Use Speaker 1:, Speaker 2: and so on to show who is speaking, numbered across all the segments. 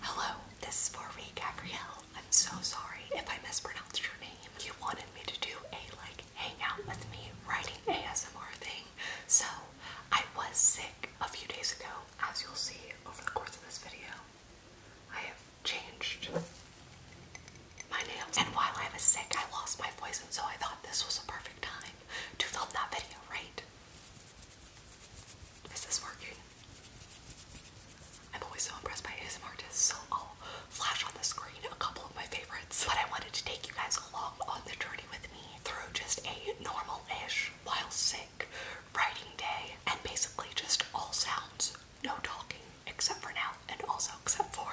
Speaker 1: Hello, this is for me, Gabrielle. I'm so sorry if I mispronounced your name. You wanted me to do a like hang out with me writing ASMR thing, so I was sick a few days ago, as you'll see over the course of this video. I have changed my nails. And while I was sick, I lost my voice, and so I thought this was a perfect time to film that video, right? Is this working? I'm always so impressed by ASMR artists, so I'll flash on the screen a couple of my favorites. But I wanted to take you guys along on the journey with me through just a normal-ish, while sick, writing day, and basically just all sounds, no talking, except for now, and also except for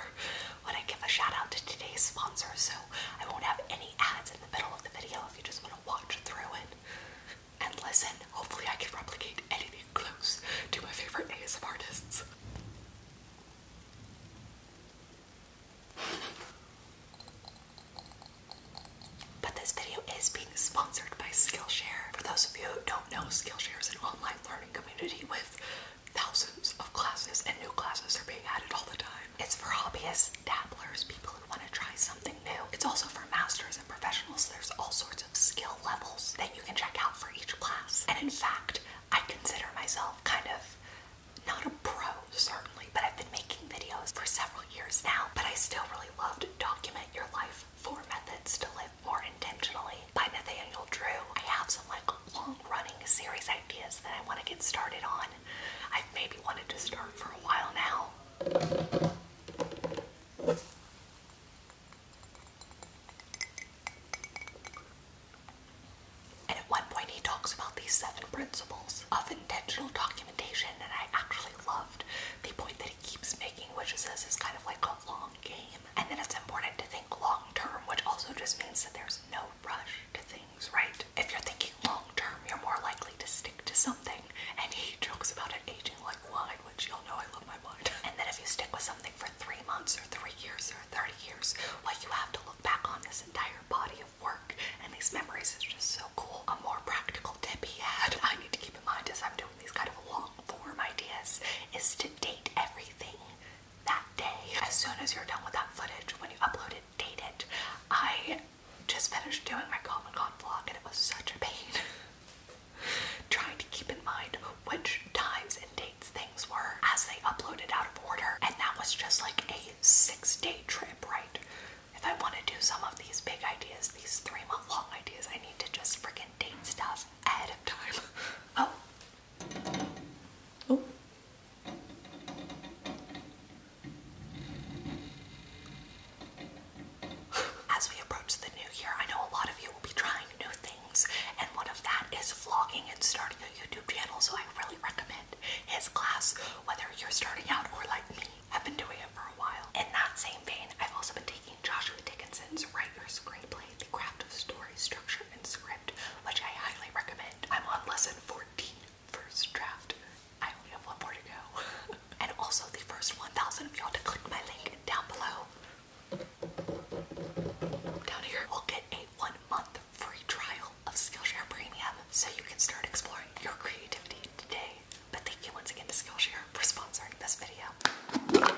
Speaker 1: when I give a shout out to today's sponsor, so I won't have any ads in the middle of the video if you just want to watch through it and listen. Hopefully I can replicate anything close to my favorite ASM artists. But this video is being sponsored by Skillshare. For those of you who don't know, Skillshare is an online learning community with thousands of classes, and new classes are being added all the time. It's for hobbyists, dabblers, people who want to try something new. It's also for masters and professionals. There's all sorts of skill levels that you can check out for each class. And in fact, I consider myself kind of not a pro, certainly, but I've been making videos for several years now, but I still really love to document your life. Four methods to live more intentionally by Nathaniel Drew. I have some like long-running series ideas that I want to get started on. I've maybe wanted to start for a while now. And at one point, he talks about these seven principles of intentional documentation, and I actually loved the point that he keeps making, which is this is kind of like a long game, and then it's important to think long term, which also just means that there's no rush to things, right? If you're thinking long term, you're more likely to stick to something, and he jokes about it aging like wine, which y'all know I love my wine. And then if you stick with something for three months or three years or 30 years, well, you have to look back on this entire body work, and these memories are just so cool. A more practical tip he had I need to keep in mind as I'm doing these kind of long form ideas is to date everything that day. As soon as you're done with that footage, when you upload it, date it. I just finished doing my Comic Con vlog and it was such a pain. Trying to keep in mind which times and dates things were as they uploaded out of order, and that was just like a six day trip, right? if I want to do some of these big ideas, these three month long ideas, I need to just freaking date stuff ahead of time. Oh. Oh. As we approach the new year, I know a lot of you will be trying new things, and one of that is vlogging and starting a YouTube channel, so I really recommend his class, whether you're starting out or like me, i have been doing it for a while. In that same vein, I've also been taking Joshua Dickinson's Write Your Screenplay, The Craft of Story, Structure, and Script, which I highly recommend. I'm on lesson 14, first draft. I only have one more to go. and also the first 1,000 of y'all to click my link down below. Down here, will get a one month free trial of Skillshare Premium so you can start exploring your creativity today. But thank you once again to Skillshare for sponsoring this video.